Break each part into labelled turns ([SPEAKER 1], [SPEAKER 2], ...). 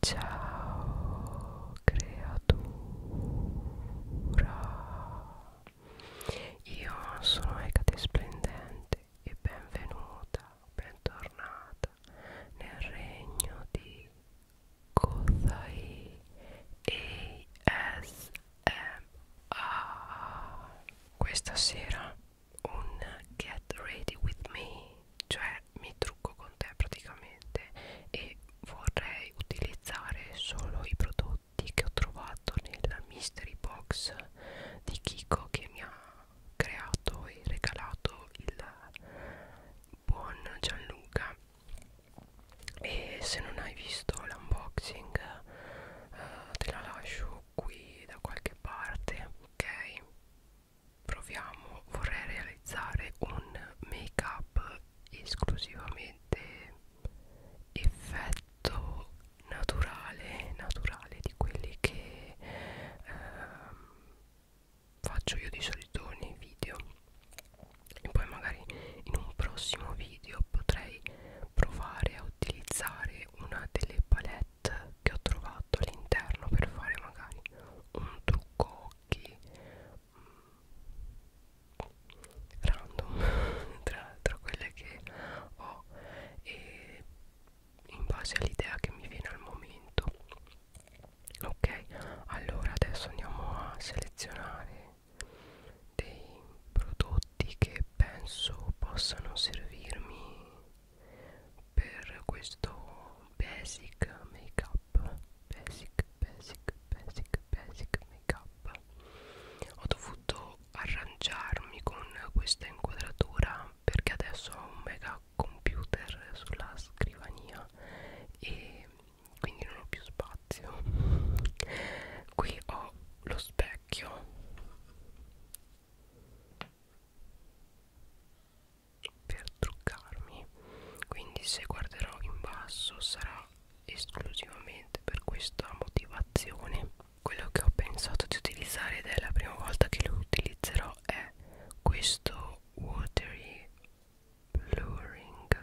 [SPEAKER 1] Ciao creatura, io sono Ecate Splendente e benvenuta, bentornata nel regno di Kozai ASMR. Questa sera un Get Ready With Me cioè mi trucco con te praticamente e vorrei utilizzare solo i prodotti che ho trovato nella mystery box di Kiko che mi ha creato e regalato il buon Gianluca e se non hai visto l'unboxing eh, te la lascio qui da qualche parte ok proviamo vorrei realizzare un make up esclusivamente effetto naturale naturale di quelli che ehm, faccio io di solito nei video e poi magari in un prossimo video potrei provare a utilizzare una delle palette che ho trovato all'interno per fare magari un trucco occhi mm, random tra, tra quelle che ho e in base all'idea che mi viene al momento ok allora adesso andiamo a selezionare dei prodotti che penso possano servirmi per questo basic make up basic basic basic basic make up ho dovuto arrangiarmi con questa inquadratura perché adesso ho un mega computer sulla scrivania e quindi non ho più spazio qui ho lo specchio per truccarmi quindi se guarderò in basso sarà esclusivamente per questa motivazione quello che ho pensato di utilizzare ed è la prima volta che lo utilizzerò è questo watery blurring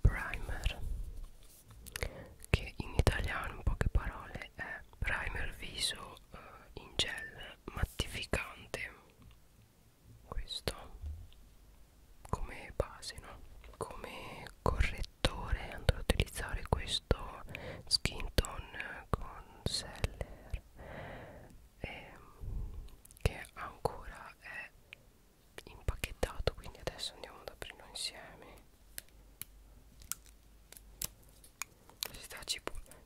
[SPEAKER 1] primer che in italiano in poche parole è primer viso eh, in gel mattificante questo come base no? come correttore andrò a utilizzare questo skin tone con seller ehm, che ancora è impacchettato quindi adesso andiamo ad aprirlo insieme si sta cipollando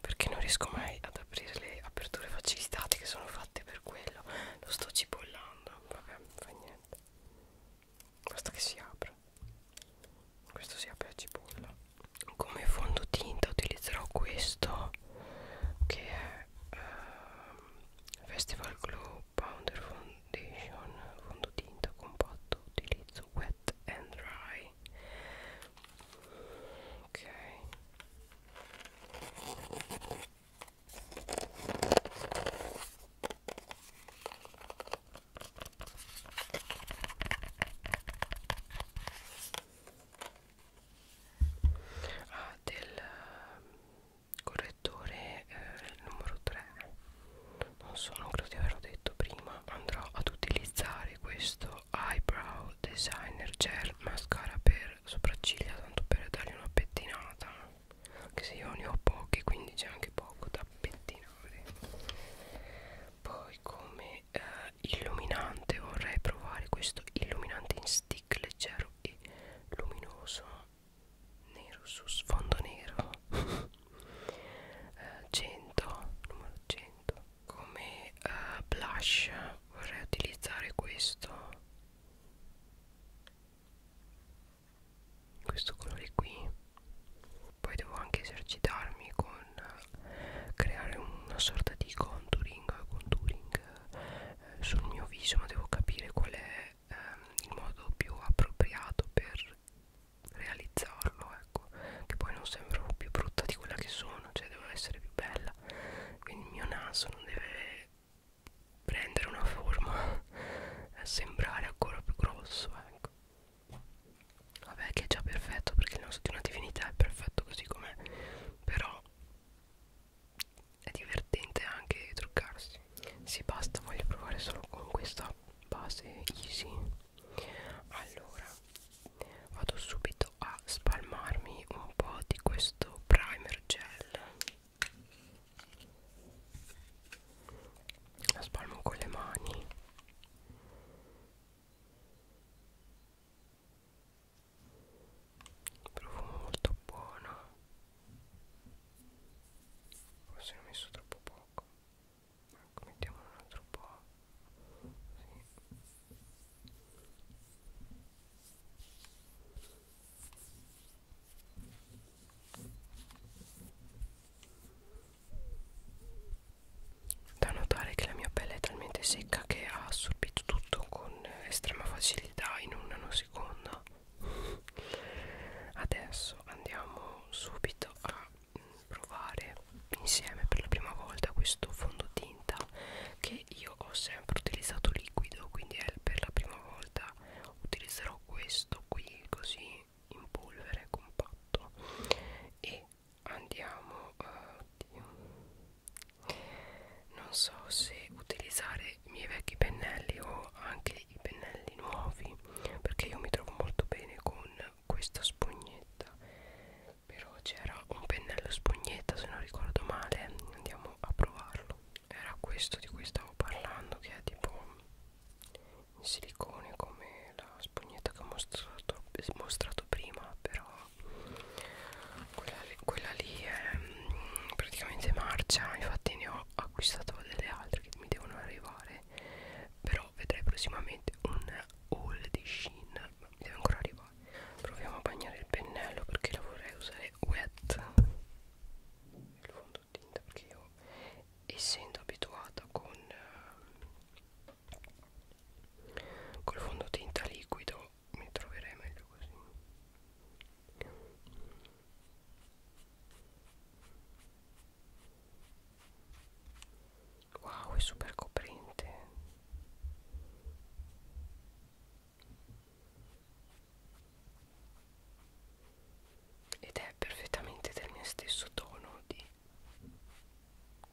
[SPEAKER 1] perché non riesco mai ad aprire le aperture facilitate che sono fatte per quello lo sto cipollando vabbè fa niente basta che si apra questo si apre a cipolla come fondotinta utilizzerò questo che è uh, Festival Glow Pounder Foundation fondotinta compatto utilizzo wet and dry ok ah, del ehm, correttore eh, numero 3 non so non credo di averlo detto prima andrò ad utilizzare questo eyebrow designer gel mascara per sopracciglia tanto per dargli una pettinata anche se io ne ho pochi quindi c'è anche poco da pettinare poi come come eh, illuminante vorrei provare questo illuminante in stick leggero e luminoso nero su sfondo nero eh, 100 numero 100 come eh, blush vorrei utilizzare questo questo colore qui poi devo anche esercitarmi con creare una sorta di contouring, contouring eh, sul mio viso ma devo capire qual è eh, il modo più appropriato per realizzarlo ecco che poi non sembro più brutta di quella che sono cioè devo essere più bella quindi il mio naso non deve prendere una forma eh, sembrare ancora più grosso ecco vabbè che è già perfetto perché il naso di una divinità è perfetto così com'è però è divertente anche truccarsi sì basta voglio provare solo con questa base easy allora vado subito a spalmarmi un po' di questo primer gel la spalmo con le mani profumo molto buono forse ne ho messo troppo poco ecco mettiamolo un altro po' sì. Da notare che la mia pelle è talmente secca che ha assorbito tutto con estrema facilità in un nanosecondo. Adesso andiamo subito a provare insieme per la prima volta questo fondotinta che io ho sempre utilizzato liquido, quindi è per la prima volta utilizzerò questo qui così in polvere compatto e andiamo eh, oddio. non so se utilizzare i miei vecchi pennelli o anche i pennelli nuovi perché io mi trovo molto bene con questa spugnetta però c'era un pennello spugnetta se non ricordo male andiamo a provarlo era questo di cui stavo parlando che è tipo in silicone come la spugnetta che ho mostrato, mostrato prima però quella, quella lì è mm, praticamente marcia infatti ne ho acquistato delle altre che mi devono arrivare però vedrei prossimamente un haul di Shein ma mi deve ancora arrivare proviamo a bagnare il pennello perché la vorrei usare wet il fondotinta perché io essendo abituata con eh, col fondotinta liquido mi troverei meglio così wow è super coprente ed è perfettamente del mio stesso tono di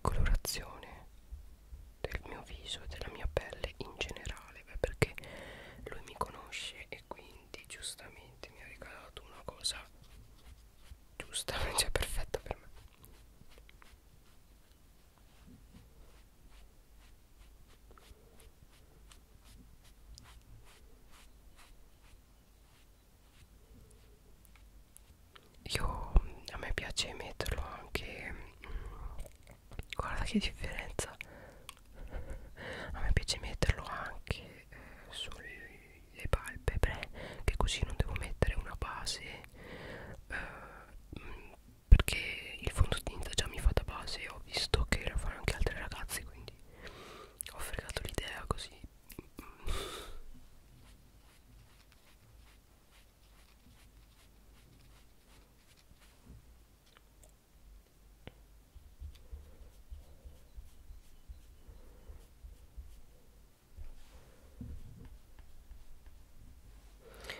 [SPEAKER 1] colorazione del mio viso e della mia pelle in generale beh, perché lui mi conosce e quindi giustamente mi ha regalato una cosa giusta cioè perfetta per me io a me piace metterlo anche mm, guarda che differenza a me piace metterlo anche eh, sulle palpebre che così non devo mettere una base eh, mm, perché il fondotinta già mi fa da base ho visto che lo fanno anche altre ragazze quindi ho fregato l'idea così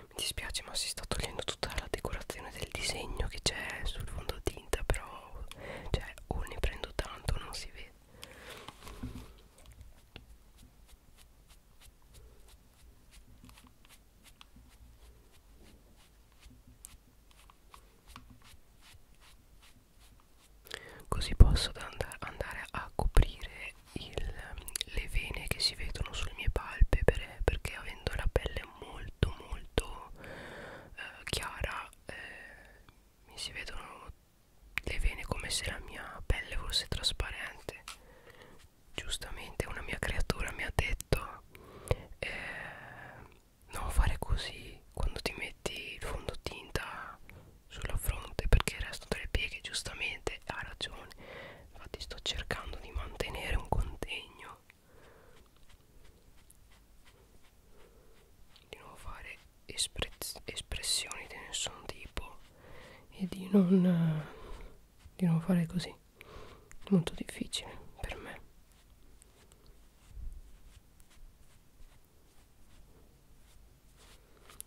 [SPEAKER 1] Mi dispiace ma si sta togliendo tutta la decorazione del disegno che c'è sul fondotinta però cioè o oh, ne prendo tanto non si vede Così posso andare a coprire il, le vene che si vedono sulle mie palpebre perché avendo la pelle molto molto eh, chiara eh, mi si vedono le vene come se la mia pelle fosse trasparente giustamente una mia creatura mi ha detto eh, non fare così quando ti metti il fondotinta sulla fronte perché restano delle pieghe giustamente ha ragione infatti sto cercando di mantenere un contegno di non fare espres espressioni di nessun tipo e di non di non fare così molto difficile per me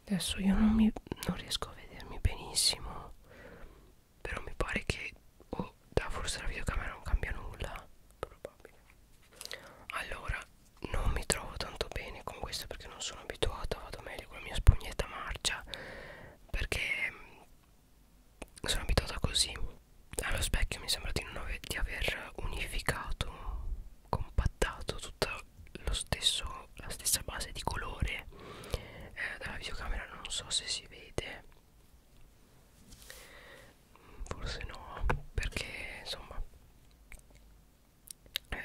[SPEAKER 1] adesso io non, mi, non riesco a vedermi benissimo però mi pare che oh, da forse la videocamera non cambia nulla probabile allora non mi trovo tanto bene con questo perché non sono abituata vado meglio con la mia spugnetta marcia perché mm, sono abituata così allo specchio mi sembra di, non ave di aver unificato compattato tutta lo stesso, la stessa base di colore eh, dalla videocamera non so se si vede forse no perché insomma eh,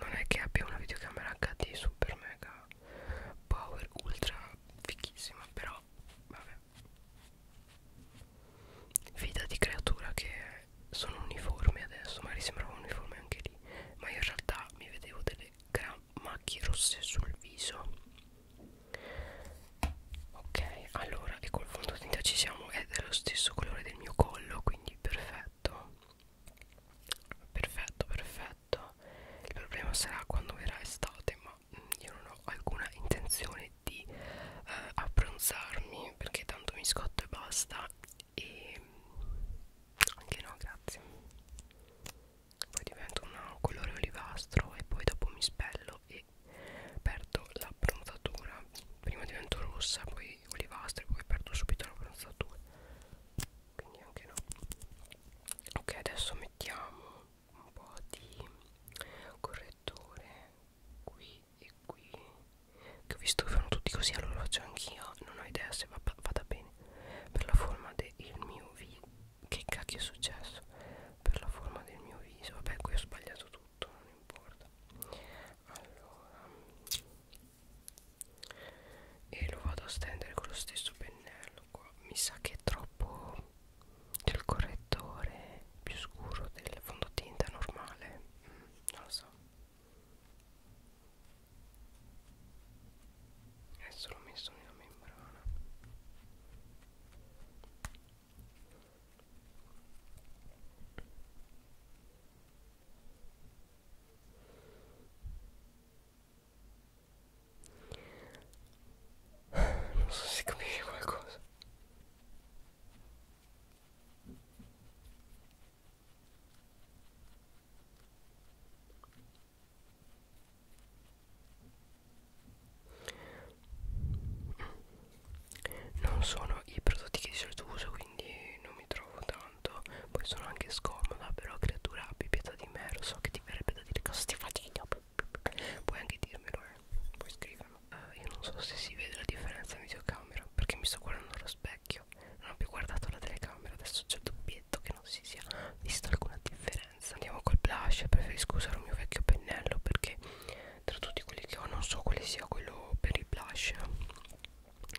[SPEAKER 1] non è che abbia una videocamera HD super mega power ultra fichissima però vabbè vita di creatura che sono uniformi adesso magari sembrava uniforme anche lì ma io in realtà mi vedevo delle gran macchie rosse sul viso ok allora e col fondotinta ci siamo è dello stesso colore del mio collo quindi perfetto perfetto perfetto il problema sarà quando verrà estate ma mm, io non ho alcuna intenzione di eh, abbronzarmi perché tanto mi scotto e basta e mm, anche no grazie poi divento un colore olivastro e poi dopo mi spello e perdo la bronzatura prima divento rossa poi olivastra e poi perdo subito la bronzatura quindi anche no ok adesso mettiamo un po' di correttore qui e qui che ho visto che fanno tutti così allora lo faccio anch'io non ho idea se va, vada bene per la forma del mio viso che cacchio è successo per la forma del mio viso vabbè qui ho sbagliato tutto non importa allora e lo vado a stendere con lo stesso pennello qua mi sa che è troppo del correttore più scuro del fondotinta normale mm, non lo so adesso l'ho messo nella membrana non so se capisci qualcosa. Non sono i prodotti che di solito uso, quindi non mi trovo da tanto poi sono anche scomoda però creatura abbi pietà di me lo so che ti verrebbe da dire cosa stai facendo puoi anche dirmelo eh puoi scriverlo uh, io non so se si vede la differenza in videocamera perché mi sto guardando allo specchio non ho più guardato la telecamera adesso c'è il doppietto che non si sia vista alcuna differenza andiamo col blush preferisco usare un mio vecchio pennello perché tra tutti quelli che ho non so quale sia quello per il blush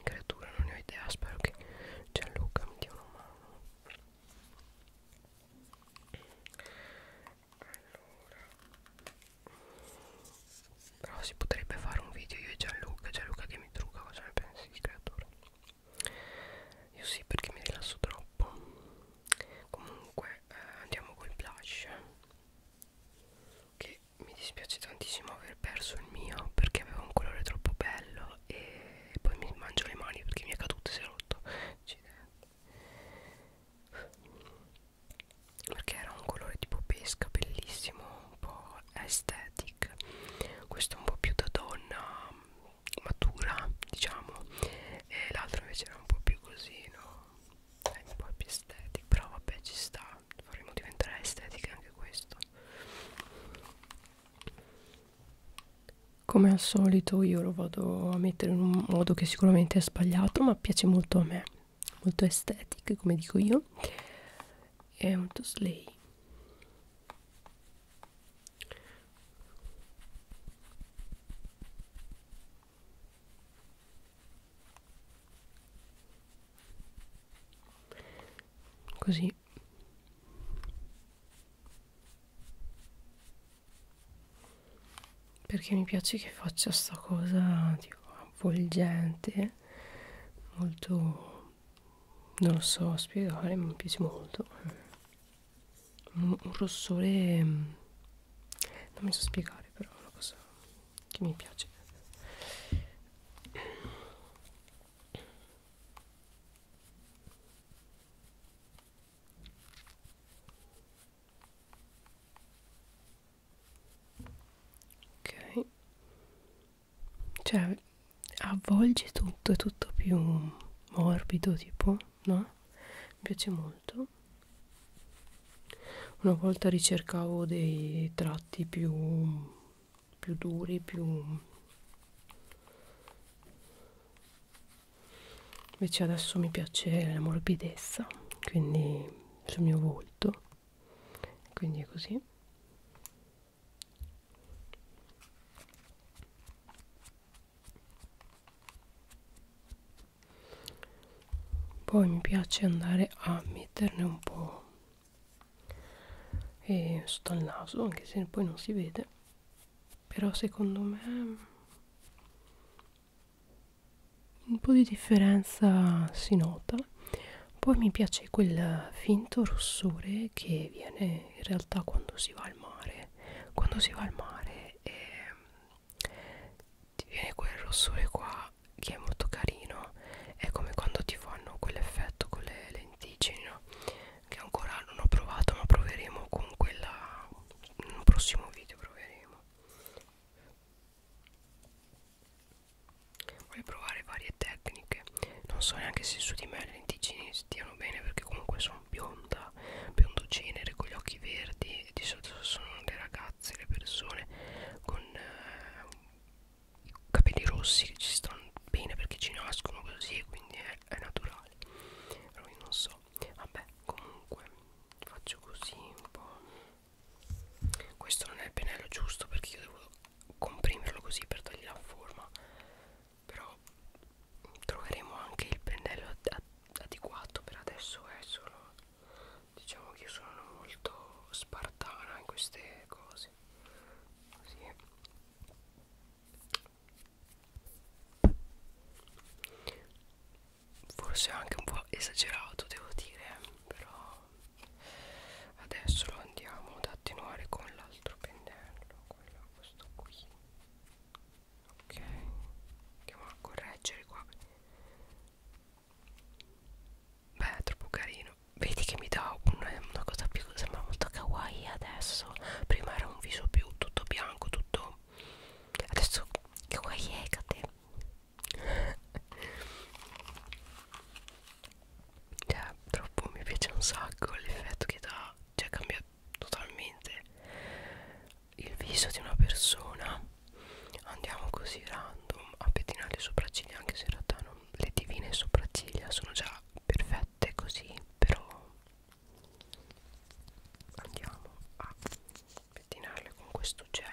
[SPEAKER 1] creatura non ne ho idea spero che Gianluca mi dia una mano allora però si potrebbe fare un video io e Gianluca Gianluca che mi trucca cosa ne pensi di creatura io sì perché mi rilasso troppo comunque eh, andiamo col blush che mi dispiace tantissimo aver perso il mio perché aveva un colore troppo bello e poi mi mangio le mani perché mi è caduto e si è rotto cioè, perché era un colore tipo pesca bellissimo un po' aesthetic questo è un po' più da donna matura diciamo e l'altro invece era un po' più così no è eh, un po' più aesthetic però vabbè ci sta faremo diventare estetiche anche questo come al solito io lo vado a mettere in un modo che sicuramente è sbagliato ma piace molto a me molto estetiche come dico io è un toslay così perché mi piace che faccia sta cosa tipo avvolgente molto non lo so spiegare ma mi piace molto un, un rossore mm, non mi so spiegare però è una cosa che mi piace Ok, cioè avvolge tutto, è tutto più morbido tipo, no? Mi piace molto. Una volta ricercavo dei tratti più più duri più invece adesso mi piace la morbidezza quindi sul mio volto quindi è così poi mi piace andare a metterne un po' e sotto al naso anche se poi non si vede però secondo me mm, un po' di differenza si nota poi mi piace quel finto rossore che viene in realtà quando si va al mare quando si va al mare e ehm, ti viene quel rossore qua che è molto carino è come quando ti fanno quell'effetto con le lenticino che ancora non ho provato ma proveremo con quella in un prossimo video proveremo voglio provare varie tecniche non so neanche se su di me le lenticini stiano bene perché comunque sono bionda biondo genere con gli occhi verdi e di solito sono le ragazze le persone con eh, i capelli rossi ci stanno bene perché ci nascono così quindi è, è naturale però io non so vabbè comunque faccio così un po' questo non è il pennello giusto perché io devo comprimerlo così per dargli la forma però troveremo anche il pennello adeguato per adesso è solo diciamo che io sono molto spartana in queste cose cose così forse anche un po' esagerato devo dire però adesso lo andiamo ad attenuare con l'altro pennello quello questo qui ok andiamo a correggere qua Beh, è troppo carino. Vedi che mi dà un, una cosa più. Sembra molto kawaii adesso. Prima era un viso più tutto bianco, tutto. Adesso kawaii ecate. cioè, troppo mi piace un sacco l'effetto che dà. Cioè, cambia totalmente il viso di una persona. Andiamo così random a pettinare le sopracciglia, anche se in realtà non le divine sopracciglia sono già perfette così però andiamo a pettinarle con questo gel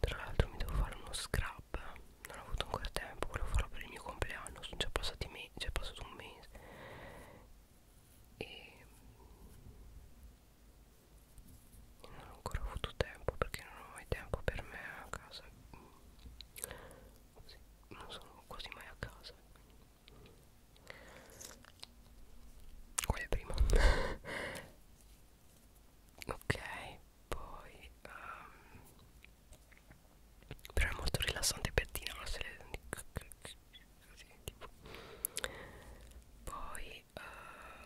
[SPEAKER 1] tra l'altro mi devo fare uno scrub non ho avuto ancora tempo volevo farlo per il mio compleanno sono già passati mesi, già passato un mese e mm, non ho ancora avuto tempo perché non ho mai tempo per me a casa sì, non sono quasi mai a casa quale prima? ok poi um, però è molto rilassante per dinarsele così tipo poi uh,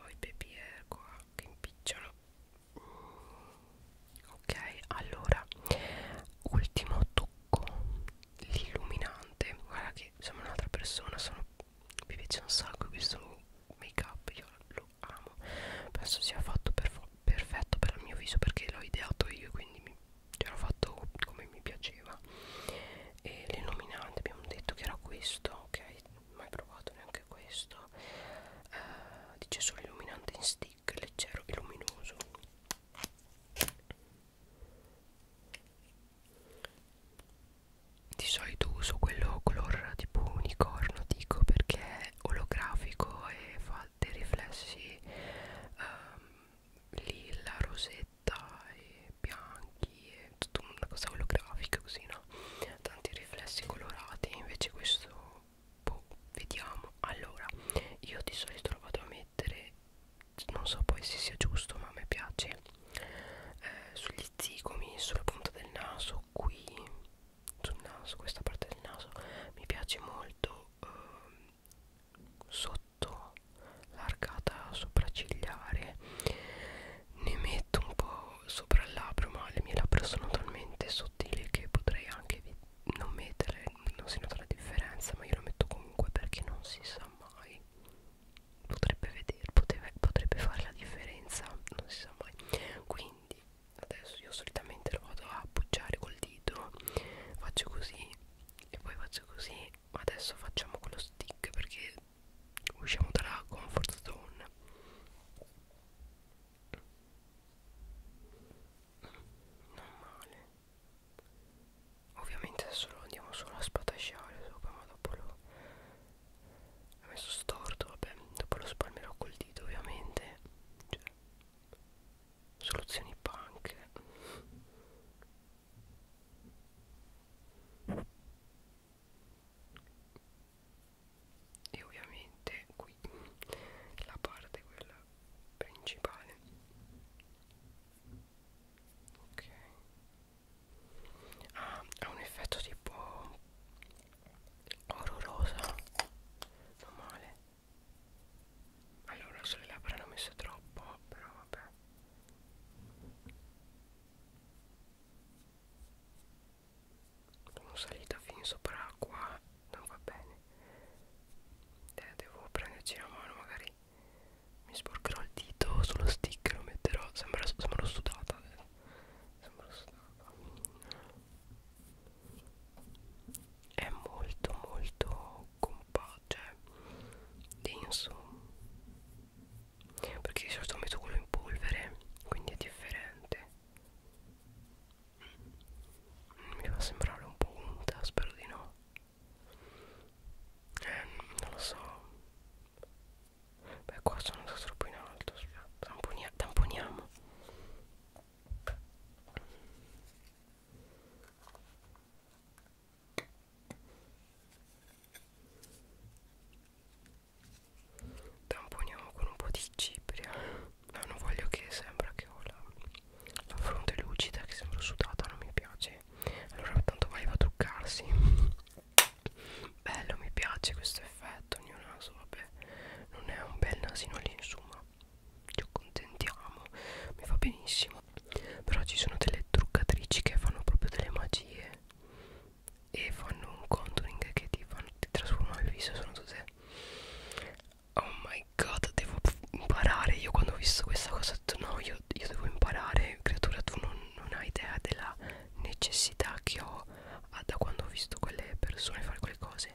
[SPEAKER 1] ho i baby air qua che impicciano ok allora ultimo tocco l'illuminante guarda che sembra un'altra persona sono mi piace un sacco questo make up io lo amo penso sia fatto per perfetto per il mio viso perché l'ho ideato io quindi mi ci hanno fatto come mi piaceva e le nominanti abbiamo detto che era questo ok mai provato neanche questo eh, dice solo illuminante in stick leggero e luminoso di solito uso quello color tipo unicorno dico perché è olografico e fa dei riflessi um, lilla, rosetta e bianchi e tutta una cosa olografica così no tanti riflessi colorati invece questo boh, vediamo allora io di solito lo vado a mettere non so poi se sia giusto ma a me piace eh, sugli zigomi sulla punta del naso qui sul naso questa parte del naso mi piace molto eh, sotto metto l'arcata sopraccigliare ne metto un po' sopra il labbro ma le mie labbra sono talmente sottili che potrei anche non mettere non si nota la differenza ma io lo metto comunque perché non si sa mai potrebbe vedere poteve, potrebbe fare la differenza non si sa mai quindi adesso io solitamente lo vado a appoggiare col dito faccio così e poi faccio così adesso facciamo quello stick perché usciamo dalla comfort zone non male ovviamente adesso lo andiamo solo a spatasciare sopra ma dopo lo ho messo storto vabbè dopo lo spalmerò col dito ovviamente cioè soluzioni banche e ovviamente qui la parte quella principale ok ah, ha un effetto tipo orrorosa non male allora sulle labbra ne ho messo troppo, però vabbè. Sono salita fin sopra acqua, non va bene. Eh, devo prenderci la mano, magari mi sporcherò il dito sullo stick, lo metterò. Sembra, sembra sudata adesso. Sembra sudata. È molto molto compatto, cioè denso perché di solito metto quello in polvere quindi è differente mm, mi fa sembrare un po' unta spero di no eh, non lo so beh qua sono andato troppo in alto Tamponia tamponiamo Tamponiamo con un po' di cipria Ma non voglio che sembra che ho la, la fronte lucida Che sembra sudata, non mi piace Allora tanto vai va a truccarsi Bello, mi piace questo effetto il mio naso, vabbè Non è un bel nasino lì insomma ci accontentiamo mi va benissimo però ci sono delle truccatrici che fanno proprio delle magie e fanno un contouring che ti, fanno, ti trasformano il viso sono tutte oh my god devo imparare io quando ho visto questa cosa ho detto no io, io devo imparare creatura tu non, non hai idea della necessità che ho ah, da quando ho visto quelle persone fare quelle cose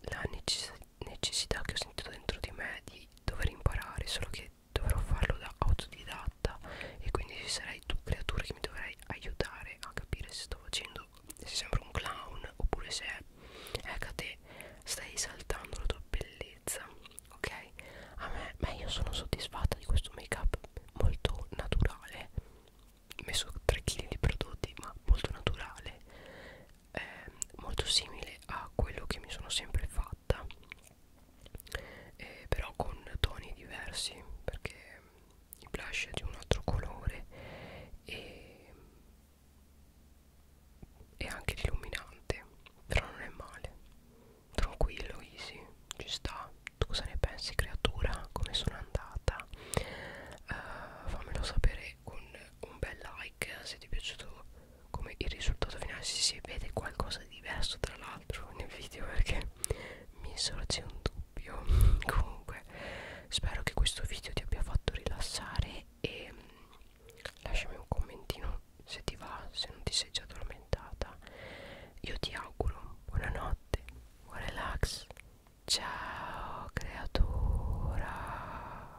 [SPEAKER 1] la necessità necessità che ho sentito dentro di me di dover imparare solo che dovrò farlo da autodidatta e quindi ci sarai tu creatura che mi dovrai aiutare a capire se sto facendo se sembra un clown oppure se ecco a te stai esaltando la tua bellezza ok a me ma io sono soddisfatta di questo make up molto naturale messo 3 kg di prodotti ma molto naturale eh, molto simile a quello che mi sono sempre fatta eh, però con toni diversi perché il blush è di un altro colore e, e anche illuminante però non è male tranquillo easy ci sta tu cosa ne pensi creatura come sono andata uh, fammelo sapere con un bel like se ti è piaciuto come il risultato finale si, si vede qualcosa di diverso tra l'altro nel video perché mi sorge un dubbio comunque spero che questo video ti abbia fatto rilassare e mm, lasciami un commentino se ti va se non ti sei già addormentata io ti auguro buonanotte buon relax ciao creatura